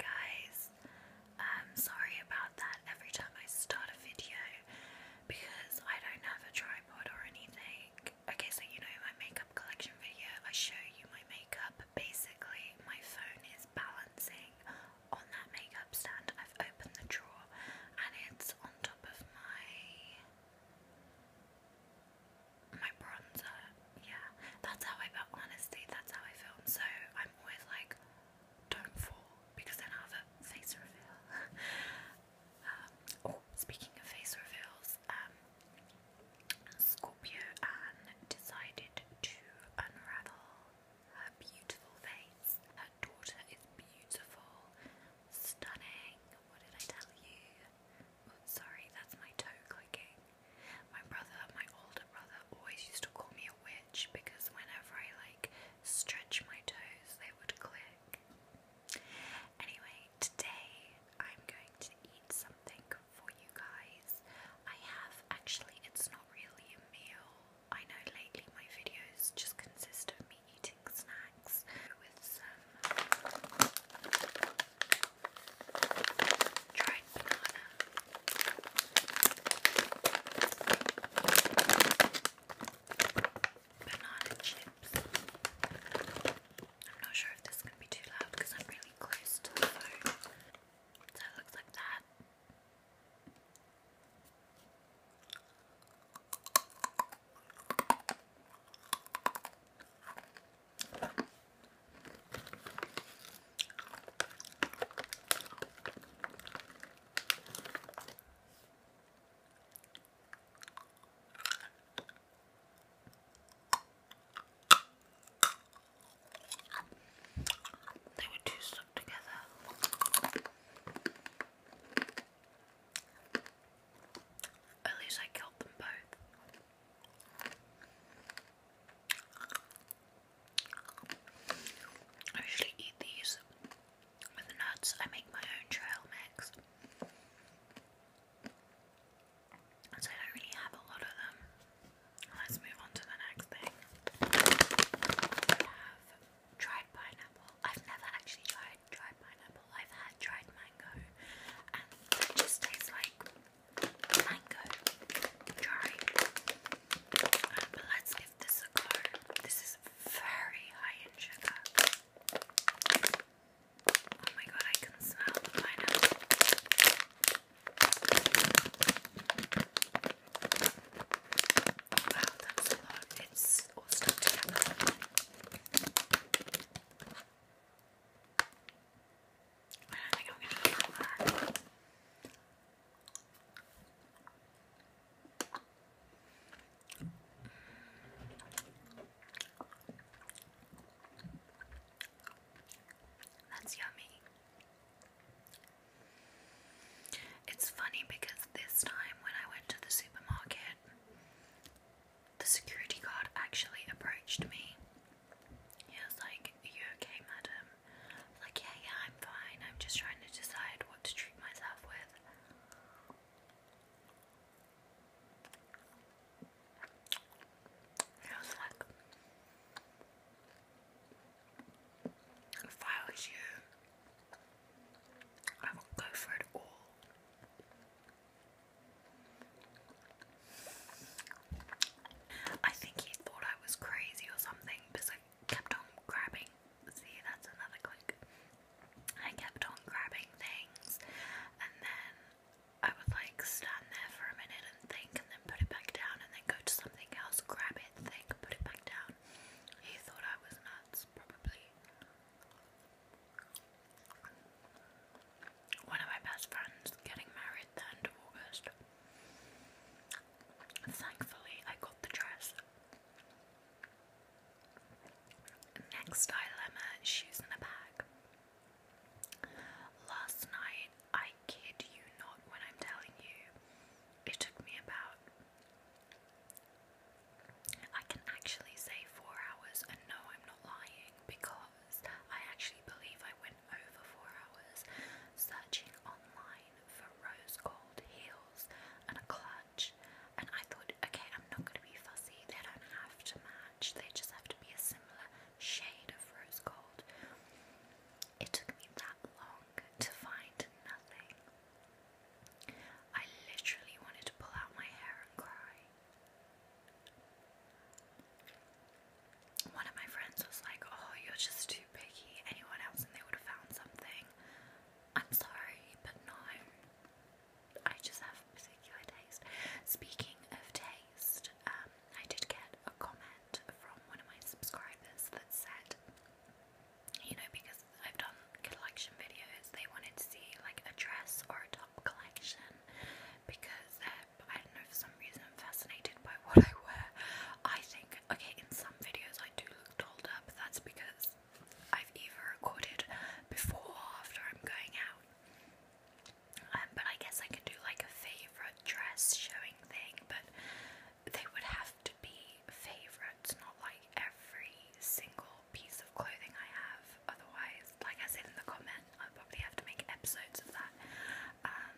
guys, I'm um, sorry about that every time I start a video because I don't have a tripod or anything. Okay, so you know my makeup collection video, I show you my makeup. Basically, my phone is balancing on that makeup stand. I've opened the drawer and it's on top of my my bronzer yeah, that's how I felt. Honestly, that's how I film. So I'm always like, don't fall because then I have a face reveal. um, oh, speaking of face reveals, um, Scorpio Anne decided to unravel her beautiful face. Her daughter is beautiful, stunning. What did I tell you? Oh, sorry, that's my toe clicking. My brother, my older brother, always used to call me a witch because whenever I like stretch my toes, they would click. Anyway, today I'm going to eat something for you guys. I have actually, it's not really a meal. I know lately my videos just consist of me eating snacks with some Banana chips. I'm not sure if this is going to be too loud because I'm really close to the phone. So it looks like that. They were too stuck together. At least I killed them both. I usually eat these with nuts. I make my own trail mix. so I don't really have a lot of them. Let's move on to the next thing. i pineapple. I've never actually tried dried pineapple. I've had dried mango and it just tastes like mango dry. let's give this a go. This is very high in sugar. Oh my god, I can smell Wow, that's a lot. It's all stuck together. That's yummy. It's funny because this time when I went to the supermarket, the security guard actually approached me he was like, Are you okay, madam? I like, Yeah, yeah, I'm fine. I'm just trying to decide what to treat myself with. And was like, If I was you, I would go for it all. I think he thought I was crazy or something because I kept on grabbing. See, that's another click. I kept on grabbing things and then I would like stand there for a minute and think and then put it back down and then go to something else, grab it, think, put it back down. He thought I was nuts, probably. One of my best friends getting married the end of August. Thankfully, I got the dress. Next dilemma shoes in a bag. Last night, I kid you not when I'm telling you, it took me about. I can actually say four hours, and no, I'm not lying because I actually believe I went over four hours searching online for rose gold heels and a clutch. And I thought, okay, I'm not going to be fussy. They don't have to match, they just have to be a similar shade of rose gold. It took me that long to find nothing. I literally wanted to pull out my hair and cry one of my friends was like, Oh, you're just too picky. Anyone else, and they would have found something. I'm sorry, but no. I just have a particular taste. Speaking of taste, um, I did get a comment from one of my subscribers that said, you know, because I've done collection videos, they wanted to see like a dress or a top collection because their I don't know for some reason I'm fascinated by what I wear. I think okay in some videos I do look dolled up. That's because I've either recorded before or after I'm going out. Um, but I guess I could do like a favorite dress showing thing, but they would have to be favorites, not like every single piece of clothing I have. Otherwise, like I said in the comment, I'll probably have to make episodes of that. Um,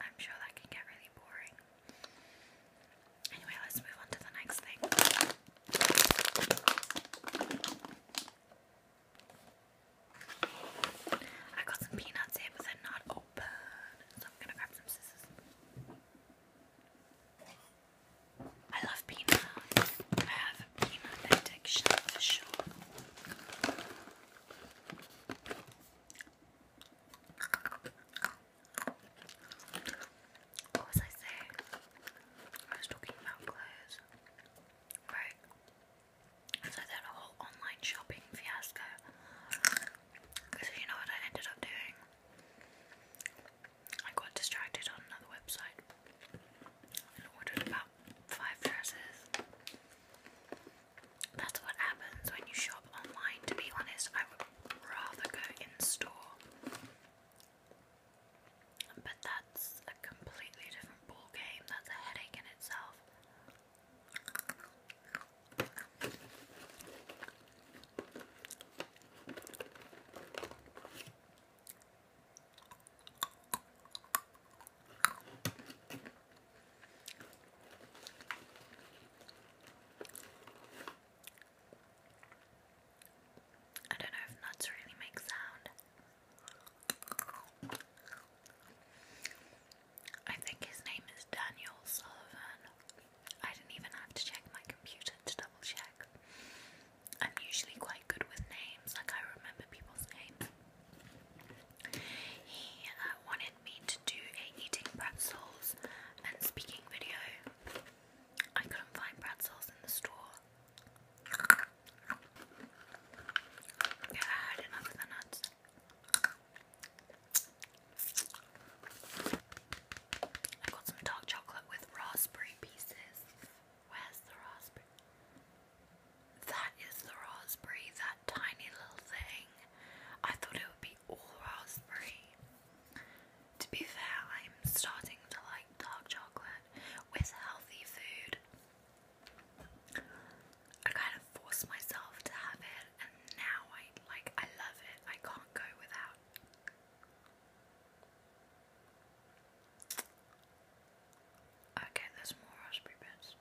I'm sure that can get really boring. Anyway, let's move on to the next thing. I got some peanuts here, but they're not open, so I'm gonna grab some scissors. I love peanuts. I have a peanut addiction for sure. What was I saying? I was talking about clothes. Right. So that whole online shopping fiasco. Because you know what I ended up doing? I got distracted on another website and ordered about five dresses. That's what happens when you shop online, to be honest. I would rather go in store. But that's a completely different ball game. That's a headache in itself. I don't know nuts really make sound. I think his name is Daniel Sullivan. I didn't even have to check my computer to double check. I'm usually quite good with names, like I remember people's names. He uh, wanted me to do a eating pretzels and speaking video. I couldn't find pretzels in the store. Yeah, I had enough of the nuts. I got some dark chocolate with raspberry pieces. Where's the raspberry? That is the raspberry, that tiny little thing. I thought it would be all raspberry. To be fair, I'm starting to like dark chocolate with healthy food. I kind of forced myself to have it and now I like I love it. I can't go without. Okay, there's more raspberry bits.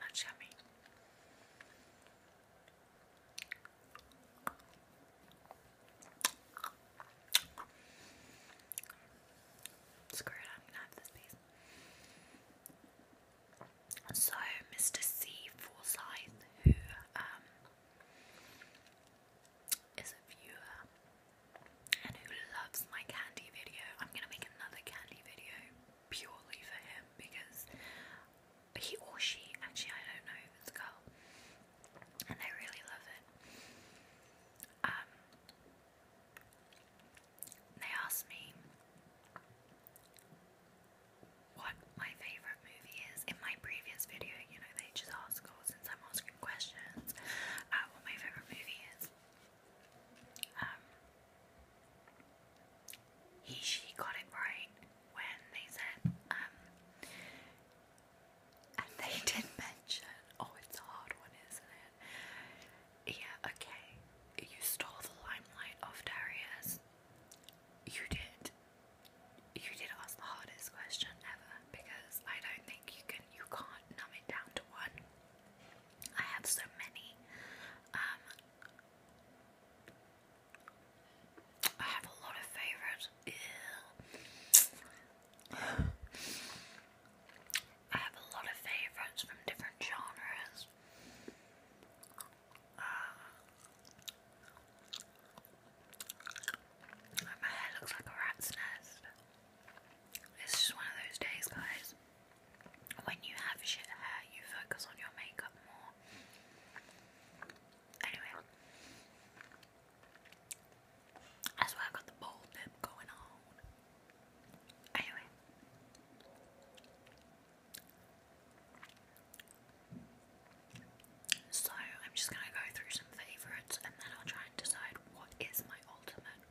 That's yummy. Screw it, I'm gonna have this piece. So, Mr. C. Forsyth, who um, is a viewer and who loves my candy video. I'm gonna make another candy video purely for him because he or she, actually, I don't know if it's a girl, and they really love it. Um, they asked me what my favorite movie is. In my previous video, you know, they just ask, oh, since I'm asking questions, uh, what my favorite movie is. Um, he, she got it right when they said, um, and they did mention, oh, it's a hard one, isn't it? Yeah, okay. You stole the limelight off Darius. You did you did ask the hardest question ever because I don't think you can you can't numb it down to one. I have so many. Um, I have a lot of favourite I have a lot of favourites from different genres. My hair looks like a rat's nest. It's just one of those days, guys. When you have shit hair, you focus on your makeup more. Anyway, that's why I got the bold nip going on. Anyway, so I'm just gonna go through some favourites and then I'll try and decide what is my ultimate.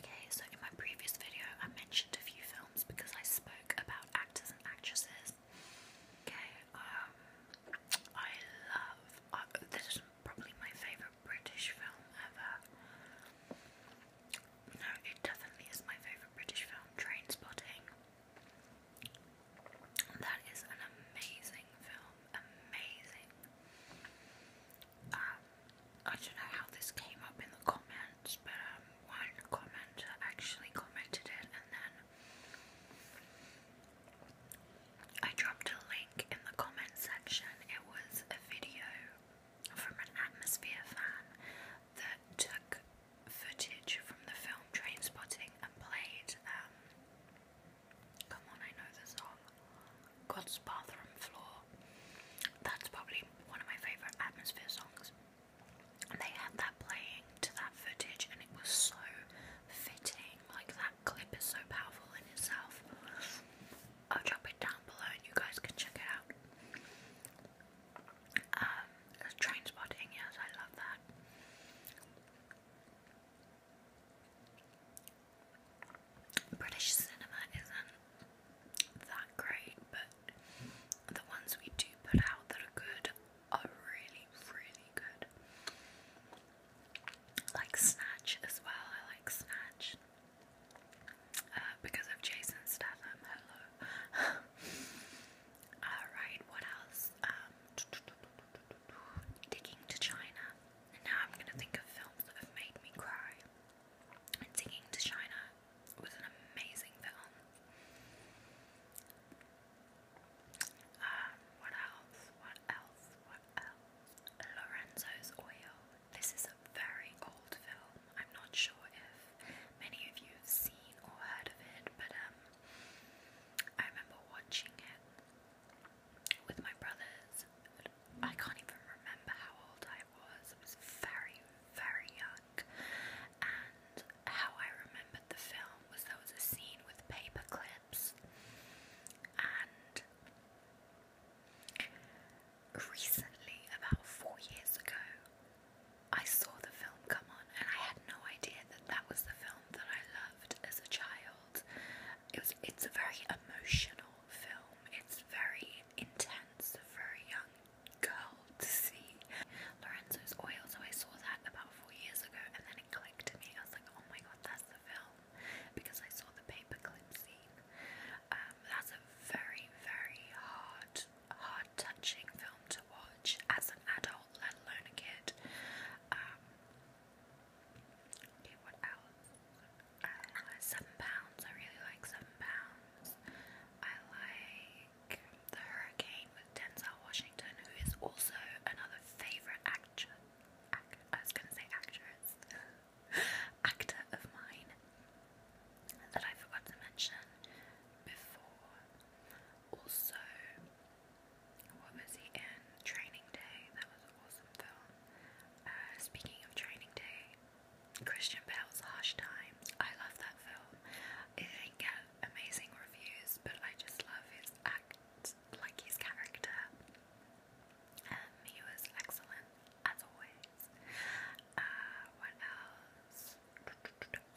Okay, so in my previous video I mentioned a few films because I spoke about actors and actresses. Okay, um I love uh, this is probably my favourite British film ever. No, it definitely is my favourite British film, Train Spotting. That is an amazing film. Amazing. Um, I don't know how this came up in the comments, but um, one commenter actually commented it, and then I dropped a link in the comment section. It was a video from an Atmosphere fan that took footage from the film Train Spotting and played, um, come on, I know the song, God's Bathroom Floor. That's probably one of my favourite atmosphere songs. And they had that playing to that footage, and it was so fitting. Like, that clip is so powerful in itself. I'll drop it down below, and you guys can check it out. Um, train spotting, yes, I love that. British cinema isn't that great, but the ones we do put out that are good are really, really good. Like Snatch as well, I like Snatch. Uh, because of Jason Statham, hello. Alright, what else? Um, digging to China. now I'm gonna think of films that have made me cry. Digging to China was an amazing film. Um, what else? What else? What else? Lorenzo's Oil. This is a very old film. I'm not sure if many of you have seen or heard of it, but um, I remember watching it with my brothers. I can't even remember how old I was. I was very, very young. And how I remembered the film was there was a scene with paper clips. And recently, about four years ago, I saw the film come on and I had no idea that that was the film that I loved as a child. It was, it's a very emotional film, it's very intense for a young girl to see. Lorenzo's Oil, so I saw that about four years ago and then it clicked to me. I was like, oh my god, that's the film because I saw the paperclip scene. Um, that's a very, very hard hard touching film to watch as an adult, let alone a kid. Um, okay, what else? Uh, Seven Pounds. I really like Seven Pounds. I like The Hurricane with Denzel Washington, who is also another favorite actor. I was gonna say actress. actor of mine that I forgot to mention before. Also, what was he in? Training Day. That was an awesome film. Uh, speaking of Training Day, Christian Bale's Harsh Time. I love that film. It did amazing reviews, but I just love his act, like his character. Um, he was excellent as always. Uh, what else?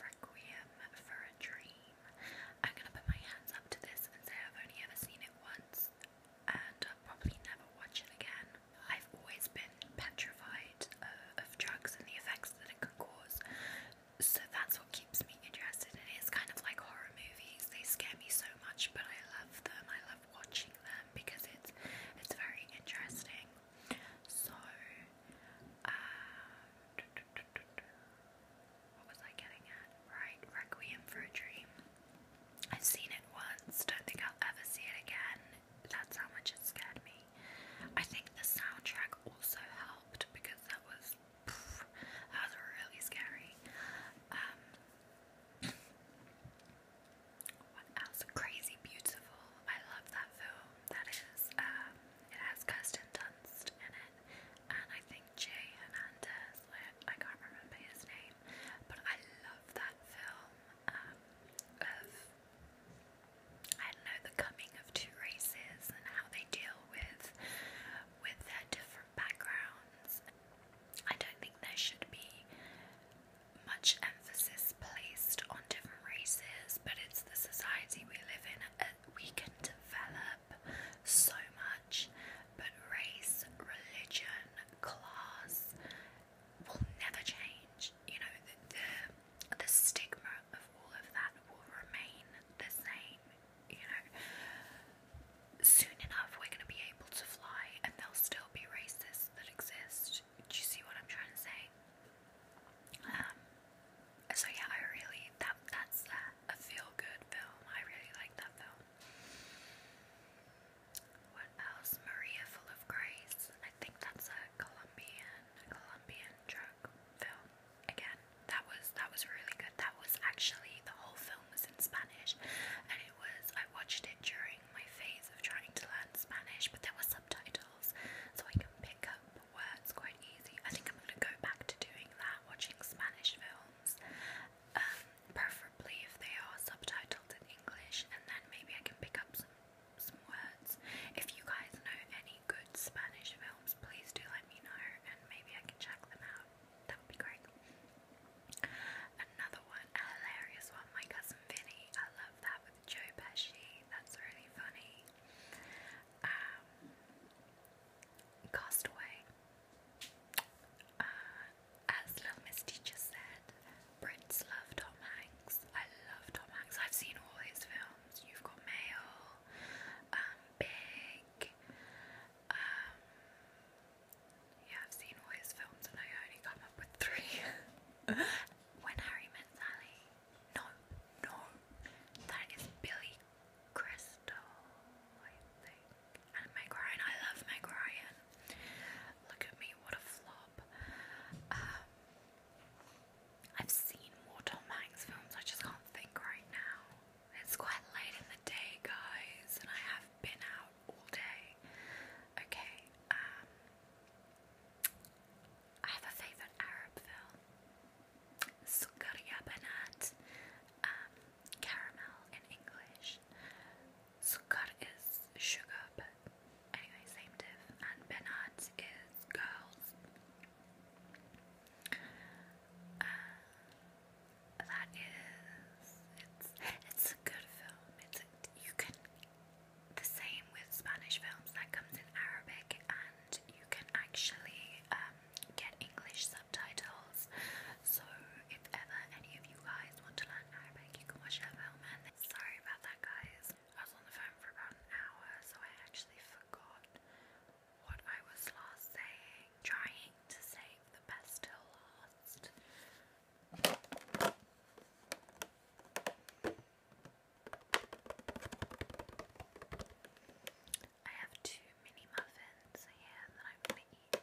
Requiem for a Dream. I'm gonna put my hands up to this and say I've only ever seen it once and probably never watch it again. I've always been petrified uh, of drugs and the effects that it can cause, so that's what keeps me interested in it. It's kind of like horror movies, they scare me so much, but I love them, I love watching them because it's, it's very interesting. So, uh, what was I getting at? Right, Requiem for a Dream. I've seen it once, don't think I'll ever see it again. That's how much it scared me. I think the soundtrack also helped because that was pff, that was really scary. Um, what else? Crazy Beautiful. I love that film that is. Um, it has Kirsten Dunst in it, and I think Jay Hernandez. I, can't remember his name, but I love that film um, of I know the coming of two races and how they deal with with their different backgrounds. I don't think there should be much emphasis placed on on different races, but it's the society we live in. Uh, we can develop so much, but race, religion, class will never change. You know, the, the, the stigma of all of that will remain the same. You know, soon enough, we're going to be able to fly, and there'll still be racists that exist do you see what I'm trying to say? Um so yeah, I really that that's a, feel good film. I really like that film. What else? Maria Full of Grace. I think that's a Colombian Colombian drug film. Again, that was that was really good. That was actually the whole film was in Spanish and it was I watched it during my phase of trying to learn Spanish, but there were subtitles so I can pick up the quite easy. I think I'm going to go back to doing that, watching Spanish films, um, preferably if they are subtitled in English, and then maybe I can pick up some, some words. If you guys know any good Spanish films, please do let me know, and maybe I can check them out. That would be great. Another one, a hilarious one, My Cousin Vinny. I love that Joe Pesci, that's really funny. Um, Castaway. Uh, as Little Miss Teacher said, Brits love Tom Hanks. I love Tom Hanks. I've seen all his films. You've got Mail, um, Big. Um, yeah, I've seen all his films and I only come up three. when Harry Met Sally. No, no, that is Billy Crystal, I think. And Meg I love Meg Look at me, what a flop. Um, I've seen more Tom Hanks films, I just can't think right now. It's quite late in the day, guys, and I have been out all day. Okay, um, I have a favorite Arab film. Sukaria Banat, um, caramel in English. Sukar is sugar, but anyway, same diff. And Banat is girls. Uh, that is, it's, it's a good film. It's you can the same with Spanish films that comes in Arabic and you can actually um, get English subtitles. So if ever any of you guys want to learn Arabic, you can watch that film. And sorry about that, guys. I was on the phone for about an hour, so I actually forgot what I was last saying. Trying to save the best till last. I have two mini muffins here that I'm gonna eat.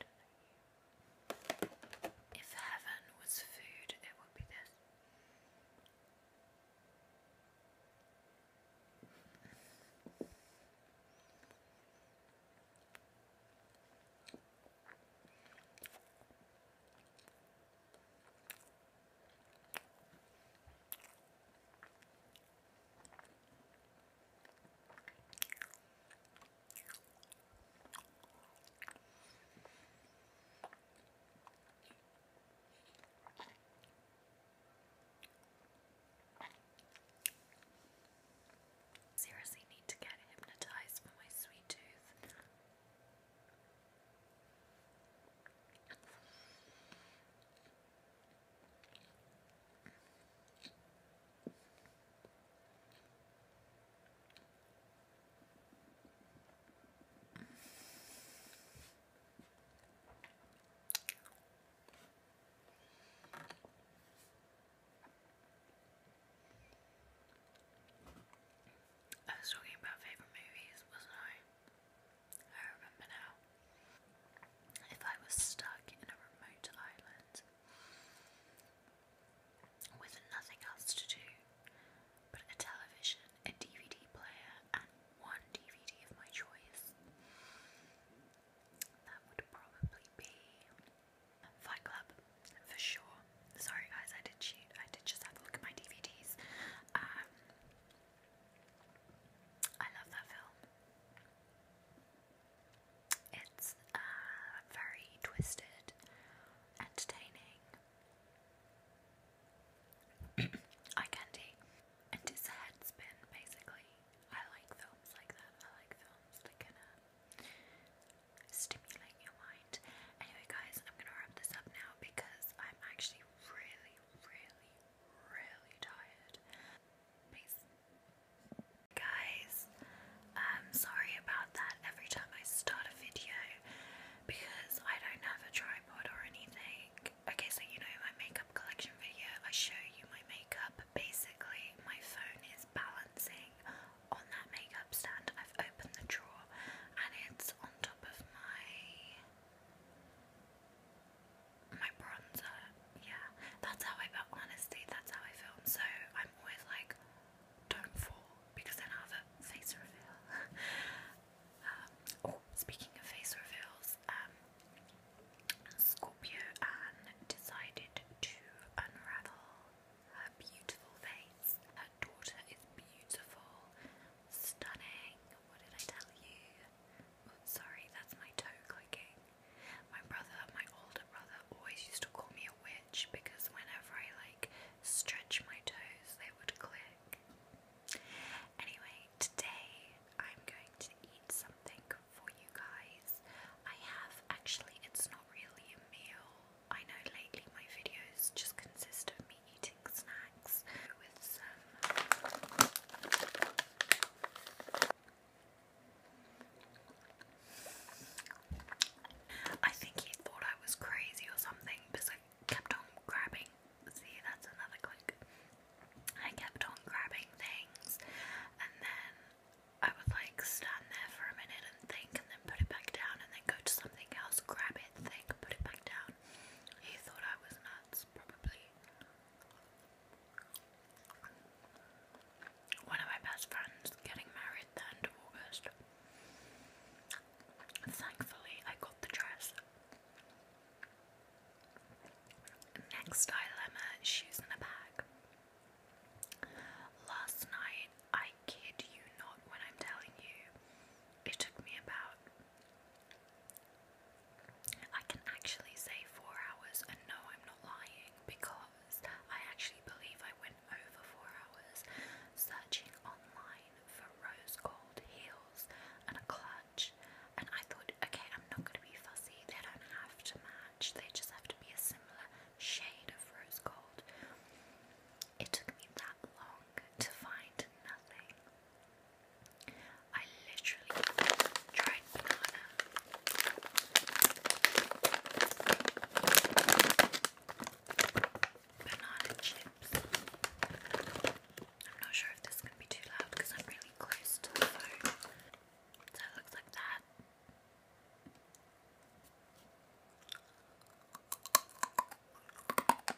If heaven was food, it would be this. Seriously need to get hypnotized for my sweet tooth. I was talking about favorite movies, wasn't I? I remember now. If I was stuck in a remote island with nothing else to do but a television, a DVD player, and one DVD of my choice, that would probably be Fight Club for sure. Sorry guys, I did cheat. I did just have a look at my DVDs. Um, I love that film. It's uh, very twisted, entertaining, eye candy, and it's a head basically. I like films like that. I like films that can uh, stimulate your mind. Anyway, guys, I'm gonna wrap this up now because I'm actually really, really, really tired. Peace. Guys, I'm um, sorry about that every time I start a video because I don't have a tripod or anything. Okay, so you know my makeup collection video, I show you my makeup. Basically, my phone is balancing on that makeup stand. I've opened the drawer and it's on top of my my bronzer. Yeah, that's how I Honestly, that's how I film. So I'm always like, don't fall because then I have a face reveal. Um, oh, speaking of face reveals, um, Scorpio Anne decided to unravel her beautiful face, daughter is beautiful, stunning. What did I tell you? Oh, sorry, that's my toe clicking. My brother, my older brother, always used to call me a witch because whenever I like stretch my toes, they would click. Anyway, today I'm going to eat something for you guys. I have actually, it's not really a meal. I know lately my videos just consist of me I think he thought I was crazy or something because I kept on grabbing. See, that's another click. I kept on grabbing things and then I would like stand there for a minute and think and then put it back down and then go to something else, grab it, think, put it back down. He thought I was nuts, probably. One of my best friends getting married the end of August. Thankfully, I got the dress. Next dilemma shoes in a bag. Last night, I kid you not when I'm telling you, it took me about I can actually say four hours, and no, I'm not lying because I actually believe I went over four hours searching online for rose gold heels and a clutch. And I thought, okay, I'm not going to be fussy, they don't have to match, they just have to be a similar shade of rose gold. It took me that long to find nothing. I literally tried banana. Banana chips. I'm not sure if this is going to be too loud because I'm really close to the phone. So it looks like that.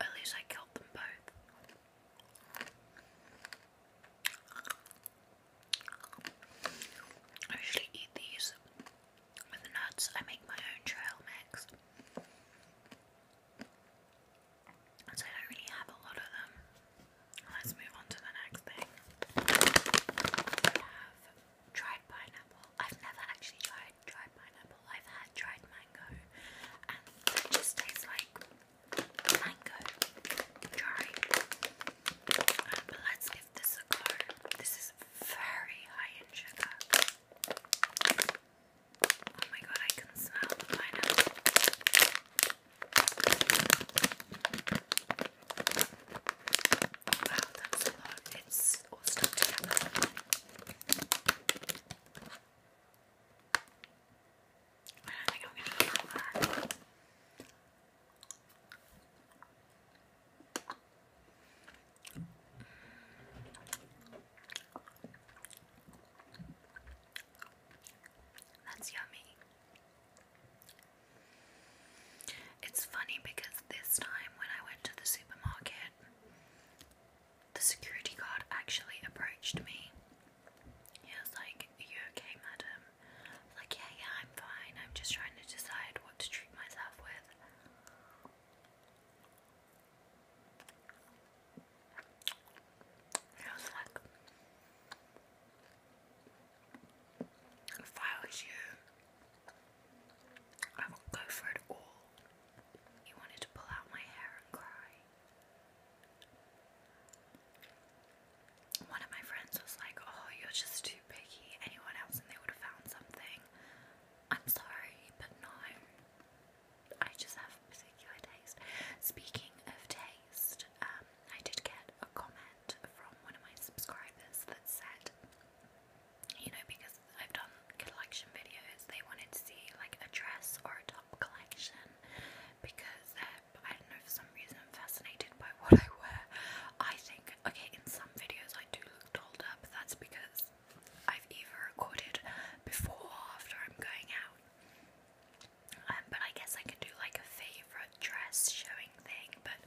At least I killed them both. I usually eat these with nuts. I make my own trail mix. so I don't really have a lot of them. Let's move on to the next thing. I have tried pineapple. I've never actually tried like pineapple. I've had dried mango, and it just tastes like mango dry. Um, let's give this a go. This is very high in sugar. Oh my god, I can smell pineapple. Wow, that's a It's all stuck together. I don't think I'm going to go that far. That's yummy. It's funny because this time when I went to the supermarket, the security guard actually approached me. He was like, Are you okay, madam? I was like, Yeah, yeah, I'm fine. I'm just trying to decide what to treat myself with. And was like, If I was you, I will go for it all. He wanted to pull out my hair and cry. One of my friends was like, Oh, you're just too picky. Anyone else, and they would have found something. I'm sorry, but no. I just have a particular taste. Speaking of taste, um, I did get a comment from one of my subscribers that said, you know, because I've done collection videos, they wanted to see like a dress or a top collection because um, I don't know, for some reason fascinated by what I wear. I think, okay, in some videos I do look dolled up, that's because I've either recorded before after I'm going out. Um, but I guess I could do like a favourite dress showing thing, but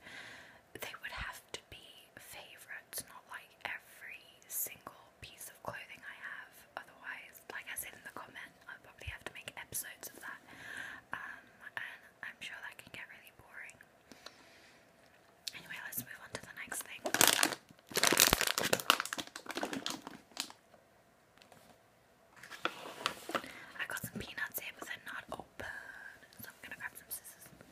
they would have to be favourites, not like every single piece of clothing I have. Otherwise, like I said in the comment, i probably have to make episodes of that. Um, I'm sure that can get really boring. Anyway, let's move on to the next thing. I got some peanuts here, but they're not open, so I'm gonna grab some scissors.